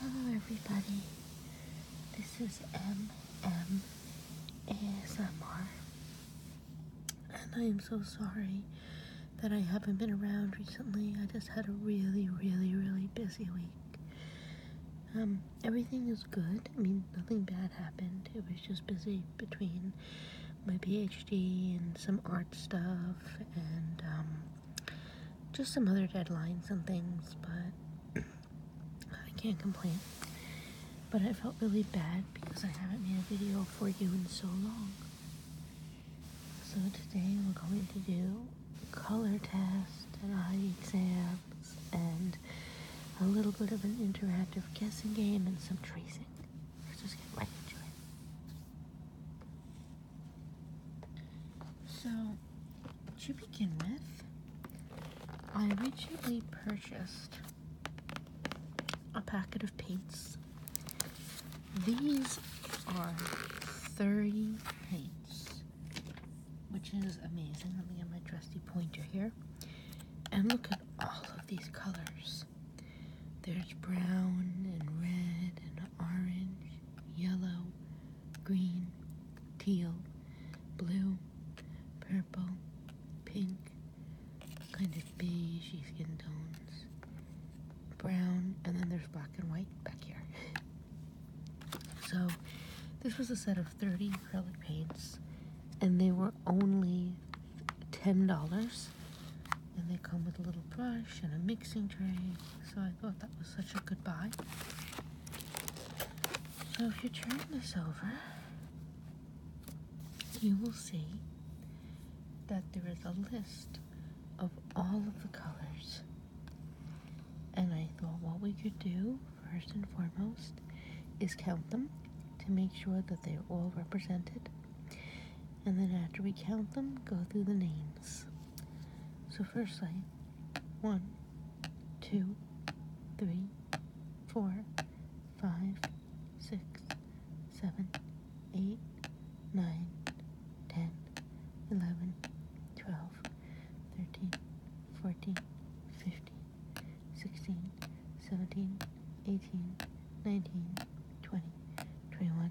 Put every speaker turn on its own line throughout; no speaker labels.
Hello everybody, this is MM and I am so sorry that I haven't been around recently. I just had a really, really, really busy week. Um, everything is good. I mean, nothing bad happened. It was just busy between my PhD and some art stuff and um, just some other deadlines and things, but I can't complain. But I felt really bad because I haven't made a video for you in so long. So today we're going to do color test and eye exams and a little bit of an interactive guessing game and some tracing. Let's just get right into it. So, to begin with, I originally purchased a packet of paints. These are 30 paints, which is amazing. Let me get my trusty pointer here. And look at all of these colors. There's brown and red and orange, yellow, green, teal, blue, purple, pink, kind of beige skin tones, brown, and then there's black and white back here. so this was a set of 30 acrylic paints and they were only $10 and they come with a little brush and a mixing tray. So I thought that was such a good buy. So if you turn this over, you will see that there is a list of all of the colors. And I thought what we could do, first and foremost, is count them to make sure that they're all represented and then after we count them, go through the names. So, first line, one, two, three, four, five, six, seven, eight, nine, ten, eleven, twelve, thirteen, fourteen, fifteen, sixteen, seventeen, eighteen, nineteen, twenty, twenty-one.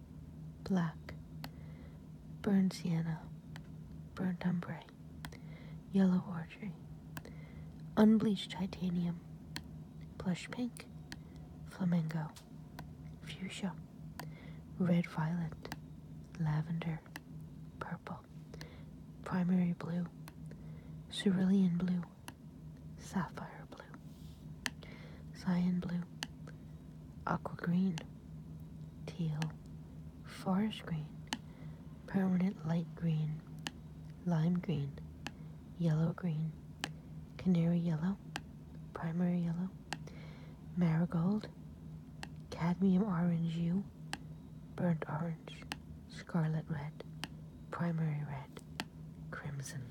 black, burned sienna, burnt ombre, yellow orchard, unbleached titanium, blush pink, flamingo, fuchsia, red violet, lavender, purple, primary blue, cerulean blue, sapphire blue, cyan blue, aqua green teal, forest green, permanent light green, lime green, yellow green, canary yellow, primary yellow, marigold, cadmium orange hue, burnt orange, scarlet red, primary red, crimson.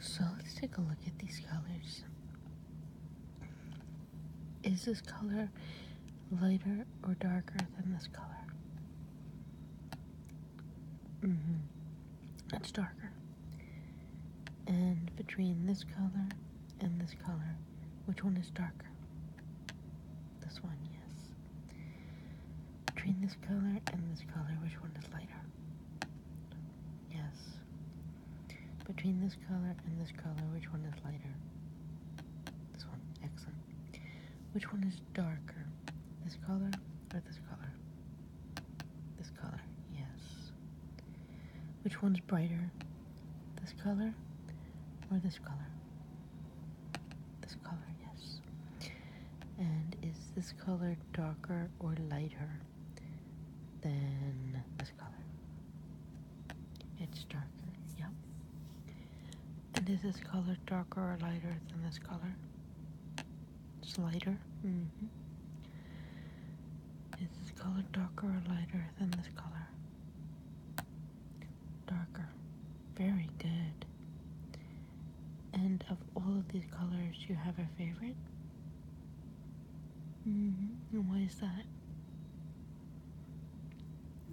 So let's take a look at these colors. Is this color lighter or darker than this color? hmm That's darker. And between this color and this color, which one is darker? This one, yes. Between this color and this color, which one is lighter? Yes. Between this color and this color, which one is lighter? This one. Excellent. Which one is darker? This color or this color? This color. Yes. Which one's brighter? This color or this color? This color. Yes. And is this color darker or lighter? than this color. It's darker, yep. And is this color darker or lighter than this color? It's lighter. Mm -hmm. Is this color darker or lighter than this color? Darker. Very good. And of all of these colors, do you have a favorite? -hmm. And why is that?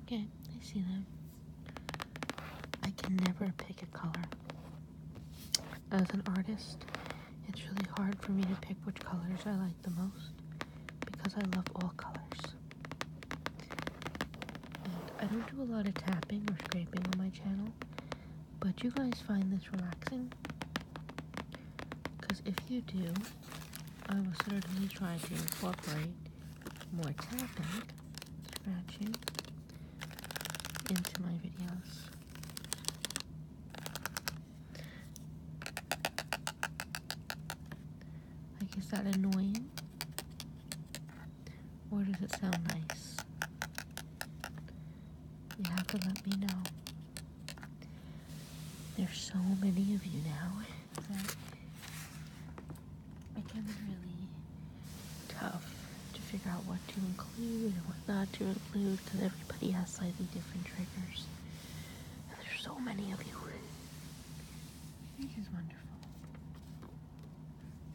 Okay, I see them. I can never pick a color. As an artist, it's really hard for me to pick which colors I like the most because I love all colors. I don't do a lot of tapping or scraping on my channel. But you guys find this relaxing? Because if you do, I will certainly try to incorporate more tapping, scratching into my videos. Like, is that annoying? Or does it sound nice? You have to let me know. There's so many of you now It's really tough to figure out what to include and what not to include because everybody has slightly different triggers. And there's so many of you. This is wonderful.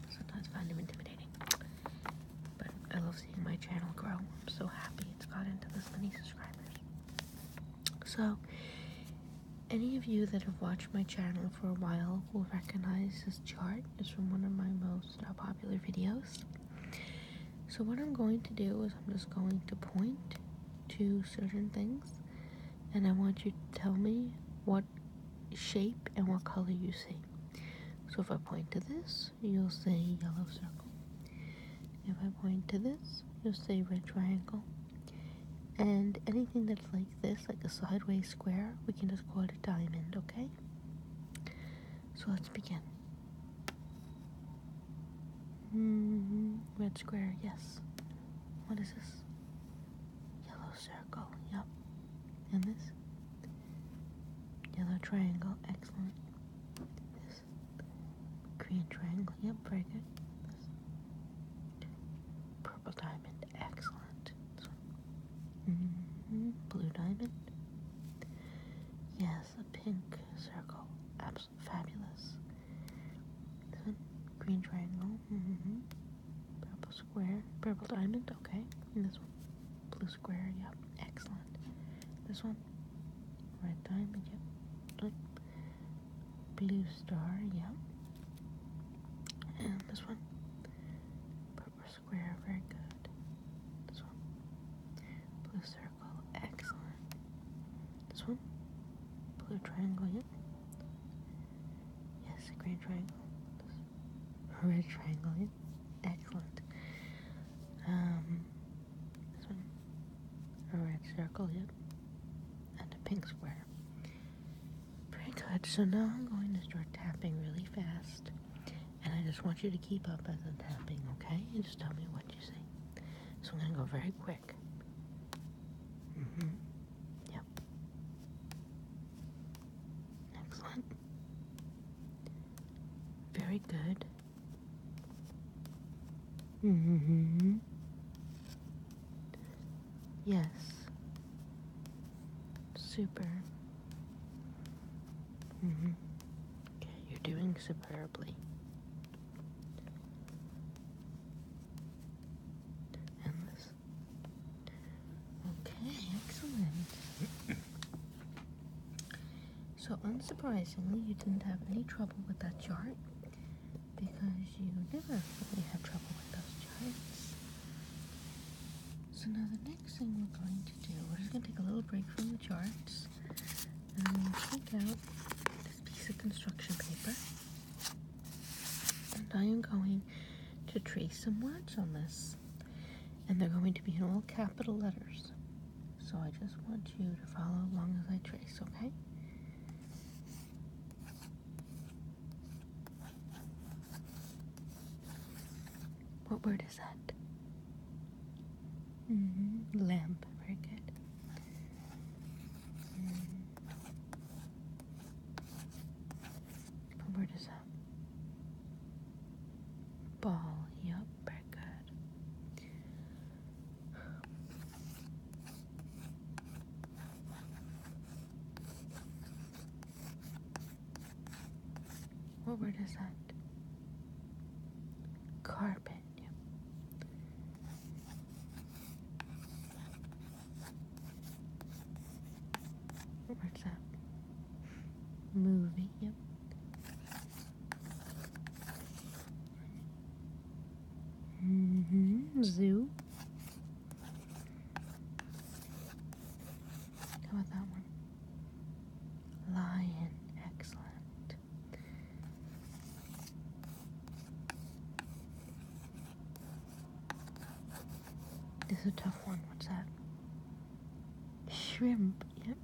Sometimes I find them intimidating. But I love seeing my channel grow. I'm so happy it's gotten to this many subscribers. So, any of you that have watched my channel for a while will recognize this chart. It's from one of my most uh, popular videos. So what I'm going to do is I'm just going to point to certain things and I want you to tell me what shape and what color you see. So if I point to this, you'll say yellow circle. If I point to this, you'll say red triangle. And anything that's like this, like a sideways square, we can just call it a diamond, okay? So let's begin. Mm-hmm. Red square, yes. What is this? Yellow circle, yep. And this? Yellow triangle, excellent. Green triangle. Yep, Purple diamond. Excellent. Mm-hmm. Blue diamond. Yes, a pink circle. fabulous. green triangle. Mm-hmm. Purple square. Purple diamond. Okay. this one. Blue square, yep. Excellent. This one? Red diamond, yep. Blue star, yep. And this one? Purple square, very good. This one? Blue circle, excellent. This one? Blue triangle, yep. Yes, a green triangle. red triangle, yep. Excellent. Um, a red circle, yep. And a pink square. Pretty good. So now I'm going to start tapping really fast. And I just want you to keep up as I'm tapping, okay? And just tell me what you see. So I'm going to go very quick. Mm-hmm. Yep. Very good. Mm-hmm. Yes. Super. Mm-hmm. Okay, you're doing superbly. Endless. Okay, excellent. So, unsurprisingly, you didn't have any trouble with that chart because you never really have trouble with those charts. So, now the next thing we're going to do, we're just going to take a little break from the charts and take out this piece of construction paper. And I am going to trace some words on this, and they're going to be in all capital letters. So I just want you to follow along as I trace, okay? What word is that? Mm-hmm. Lamp. Very good. Mm-hmm. What word is that? Ball. Yup. What word is that? Carpet. Yeah. that? Movie. Yep. Mm -hmm. Zoo. How about that one? Lion. Excellent. This is a tough one. What's that? Shrimp. Yep.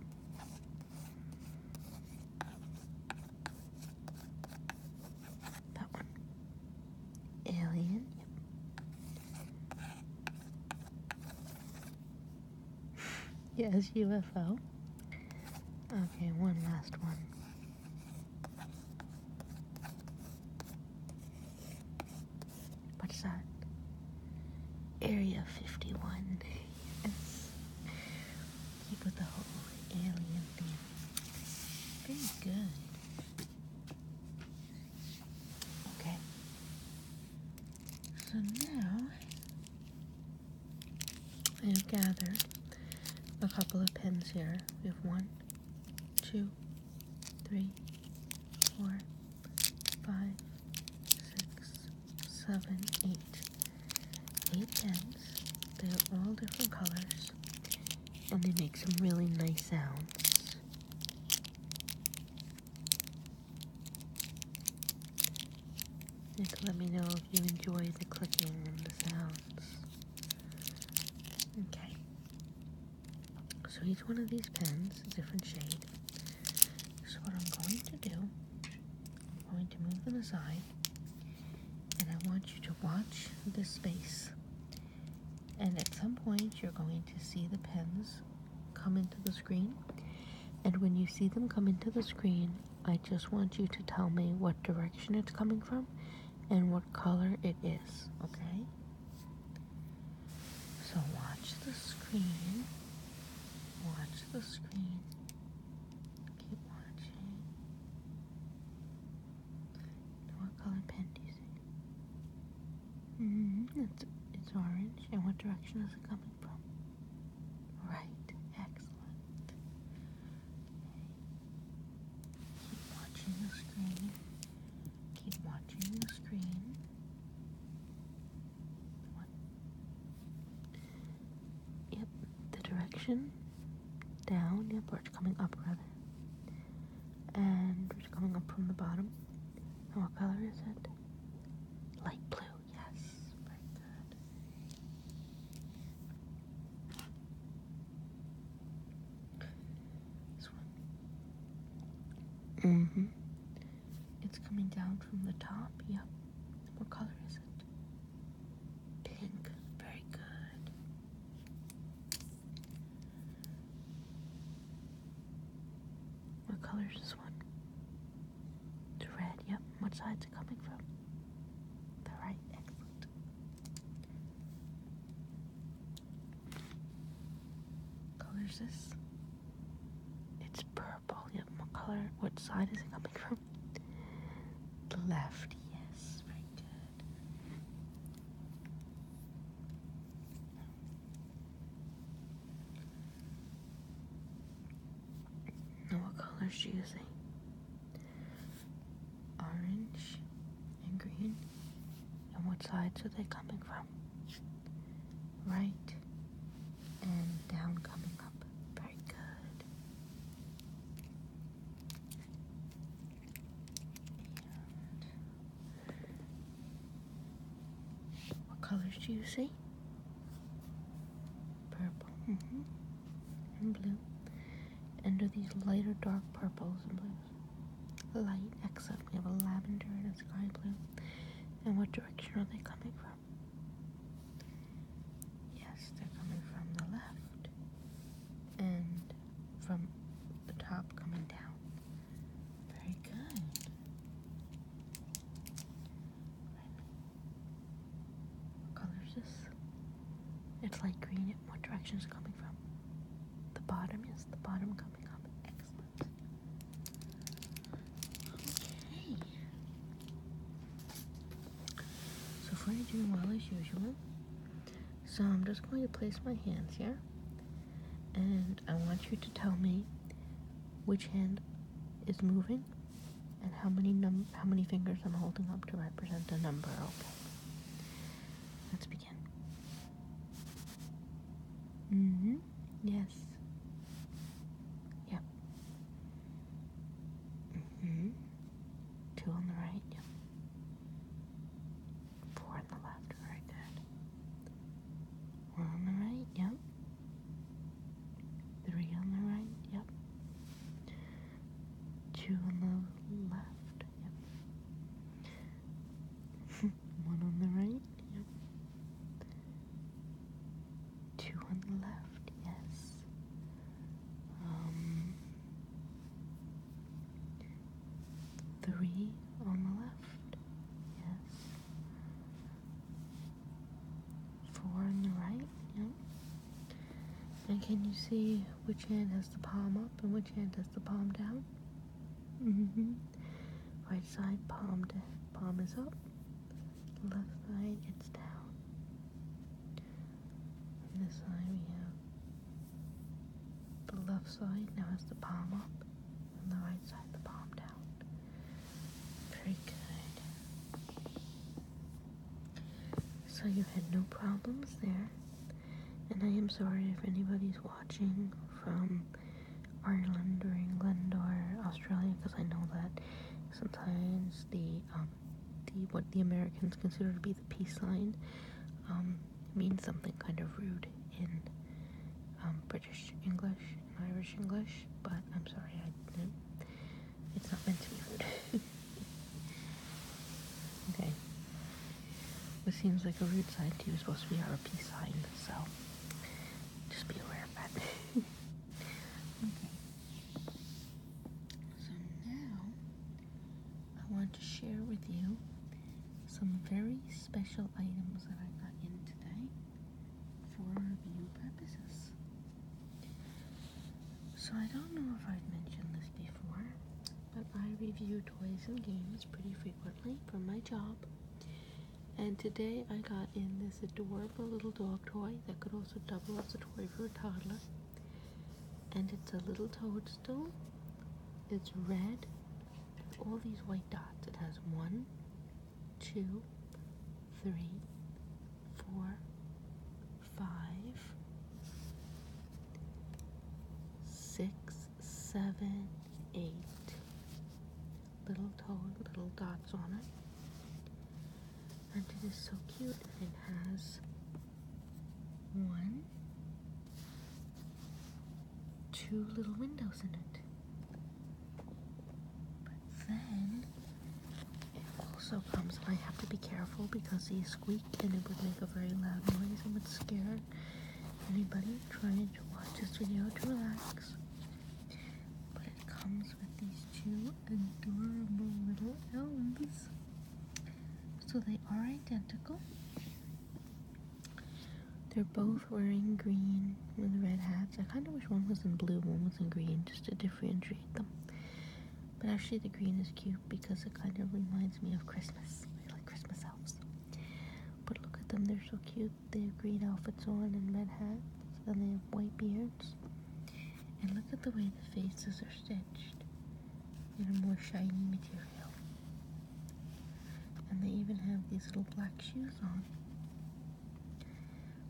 That one. Alien. yes, UFO. Okay, one last one. What's that? Area 51. Yes. You got the whole alien thing. Very good. Okay. So now I have gathered a couple of pins here. We have one, two, three, four, five, six, seven, eight. Eight pens. tens. They're all different colors, and they make some really nice sounds. You let me know if you enjoy the clicking and the sounds. Okay. So each one of these pens is a different shade. This is what I'm going to do I'm going to move them aside and I want you to watch the space. And at some point you're going to see the pens come into the screen. And when you see them come into the screen, I just want you to tell me what direction it's coming from and what color it is, okay? So watch the screen. Watch the screen. Keep watching. What color pen do you see? Mm-hmm, it's, it's orange. And what direction is it coming from? Right. Excellent. Keep watching the screen. Keep watching the screen. Yep, the direction down, yep, or it's coming up rather. And it's coming up from the bottom. And what color is it? Light blue, yes. Very good. This one. Mm-hmm. It's coming down from the top. Yep. What color is it? Pink. Very good. What color is this one? red. Yep. What side's it coming from? The right. Excellent. What color is this? It's purple purple. Yep, what color? What side is it coming from? left, yes. Very good. Now what color is she using? Orange and green. And what sides are they coming from? Right and down coming up what colors do you see? Purple mm-hmm. and blue. And do these lighter dark purples and blues? Light, except We have a lavender and a sky blue. And what direction are they coming from? Yes, they're coming from the left and from the top coming down. Very good. What color is this? It's light green. What direction is it coming from? The bottom, is the bottom coming up. Excellent. Okay. So far doing well as usual. So I'm just going to place my hands here. And I want you to tell me which hand is moving and how many num how many fingers I'm holding up to represent a number, okay? Let's begin. hmm Yes. Yeah. Mm-hmm. Two on the right. Yep. Four on the left. Very good. One on the right. Yep. Three on the right. Yep. Two on the left. Yep. One on the right. Yep. Two on the left, yes. Um, three on the left, yes. Four on the right, yeah. And can you see which hand has the palm up and which hand has the palm down? Mm-hmm. Right side palm, palm is up left side it's down. this side we have the left side now has the palm up and the right side the palm down. Very good. So you had no problems there. And I am sorry if anybody's watching from Ireland or England or Australia because I know that sometimes the um, the what the Americans consider to be the peace sign um, means something kind of rude in um, British English and Irish English, but I'm sorry, It's not meant to be rude. okay. This seems like a rude sign to you is supposed to be our peace sign, so just be aware of that. okay. So now I want to share with you some very special items that I got in today for review purposes. So I don't know if I've mentioned this before, but I review toys and games pretty frequently from my job. And today I got in this adorable little dog toy that could also double as a toy for a toddler. And it's a little toadstool. It's red. all these white dots. It has one, two, three, four, five, six, seven, eight. Little toad, little dots on it and it is so cute it has one two little windows in it but then it also comes and I have to be careful because he squeaks, and it would make a very loud noise and would scare anybody trying to watch this video to relax but it comes with these two adorable little elves. So they are identical. They're both wearing green with red hats. I kind of wish one was in blue, one was in green, just to differentiate them. But actually, the green is cute because it kind of reminds me of Christmas. I like Christmas elves. But look at them, they're so cute. They have green outfits on and red hats, and they have white beards. And look at the way the faces are stitched in a more shiny material. And they even have these little black shoes on.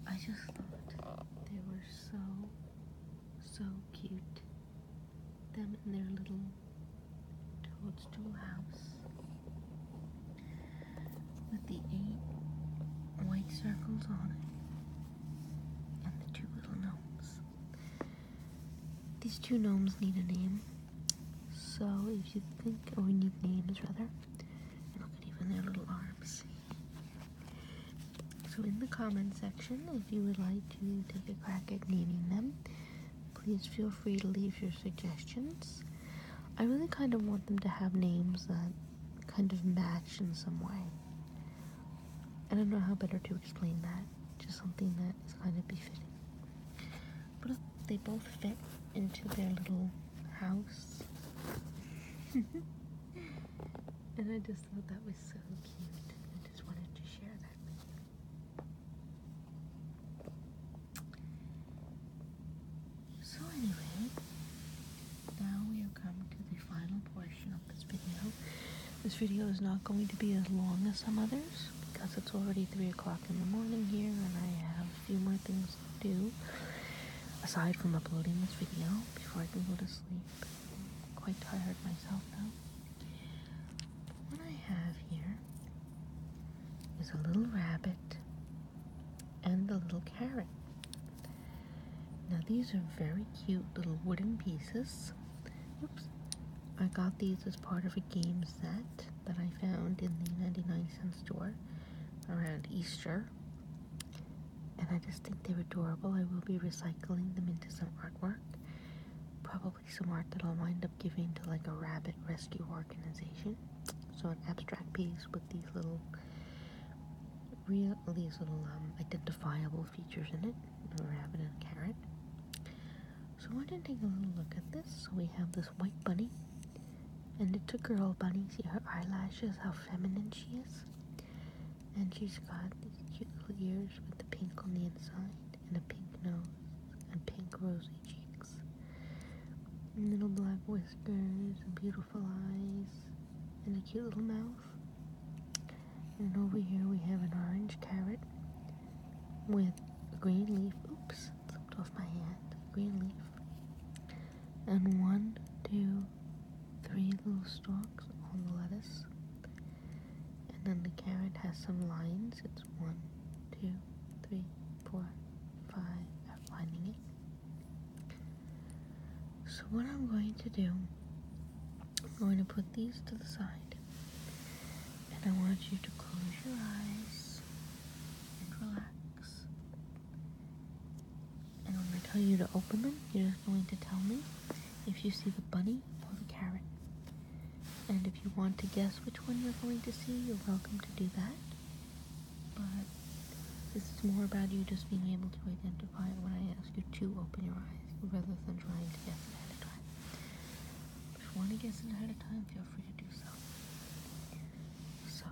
I just thought they were so, so cute. Them in their little toadstool house with the eight white circles on it and the two little gnomes. These two gnomes need a name, so if you think, or oh, we need names rather, and look at even their little arms. So in the comment section, if you would like to take a crack at naming them, please feel free to leave your suggestions. I really kind of want them to have names that kind of match in some way. I don't know how better to explain that. Just something that is kind of befitting. But they both fit into their little house. and I just thought that was so cute. I just wanted to share that with you. So anyway, now we have come to the final portion of this video. This video is not going to be as long as some others because it's already 3 o'clock in the morning here and I have a few more things to do aside from uploading this video before I can go to sleep. I'm quite tired myself now. What I have here is a little rabbit and a little carrot. Now these are very cute little wooden pieces. Oops. I got these as part of a game set that I found in the 99 cent store around Easter. And I just think they're adorable. I will be recycling them into some artwork. Probably some art that I'll wind up giving to like a rabbit rescue organization. So an abstract piece with these little real these little um, identifiable features in it, a rabbit and a carrot. So I did take a little look at this. So we have this white bunny, and it's a girl bunny. See her eyelashes, how feminine she is. And she's got these cute little ears with the pink on the inside, and a pink nose, and pink rosy cheeks. little black voice whiskers and beautiful eyes and a cute little mouth. And over here we have an orange carrot with a green leaf. Oops, slipped off my hand. Green leaf. And one, two, three little stalks on the lettuce. And then the carrot has some lines. It's one, two, three, four, five. I'm finding it. So what I'm going to do, I'm going to put these to the side. And I want you to close your eyes and relax. And when I tell you to open them, you're going to tell me if you see the bunny or the carrot. And if you want to guess which one you're going to see, you're welcome to do that but this is more about you just being able to identify when I ask you to open your eyes rather than trying to guess ahead of time. If you want to guess ahead of time, feel free to do so. So,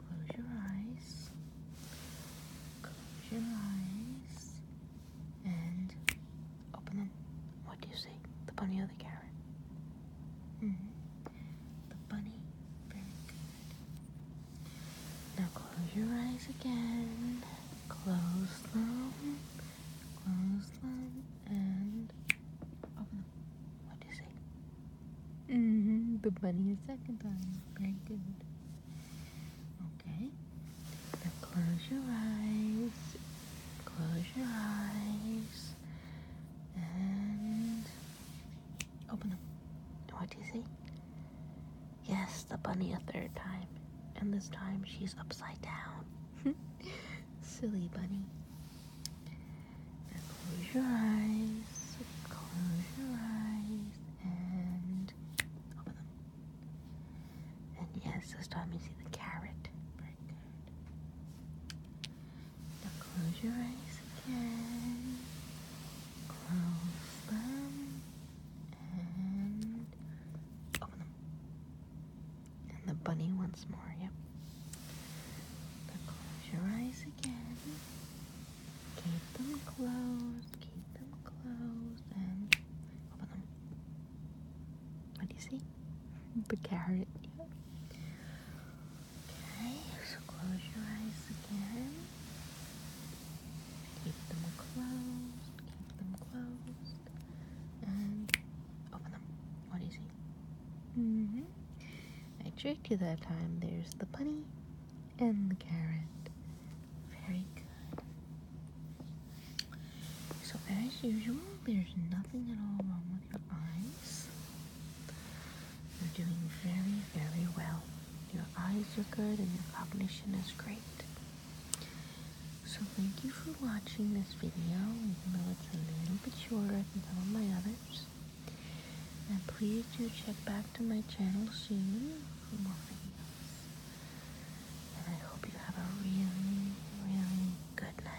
close your eyes, close your eyes, and open them. What do you see? The bunny or the carrot? Mm-hmm. The bunny. Very good. Now close your eyes again. Close them. Close them and open them. What do you say? -hmm. The bunny a second time. Very good. Okay. Now close your eyes. Close your eyes. And open them. What do you see? Yes, the bunny a third time. And this time she's upside down. Silly bunny. Now close your eyes. Close your eyes. And open them. And yes, this time you see the carrot. Now close your eyes again. Close them and open them. And the bunny once more, yep. close your eyes again. Keep them closed, keep them closed, and open them. What do you see? The carrot. Yep. Okay, so close your eyes again. Keep them closed, keep them closed, and open them. What do mm-hmm. I tricked you that time. There's the bunny and the carrot. Very good. So, as usual, there's nothing at all wrong with your eyes. You're doing very, very well. Your eyes are good and your cognition is great. So thank you for watching this video, even though it's a little bit shorter than some of my others. And please do check back to my channel soon for more videos. And I hope you have a really, really good night.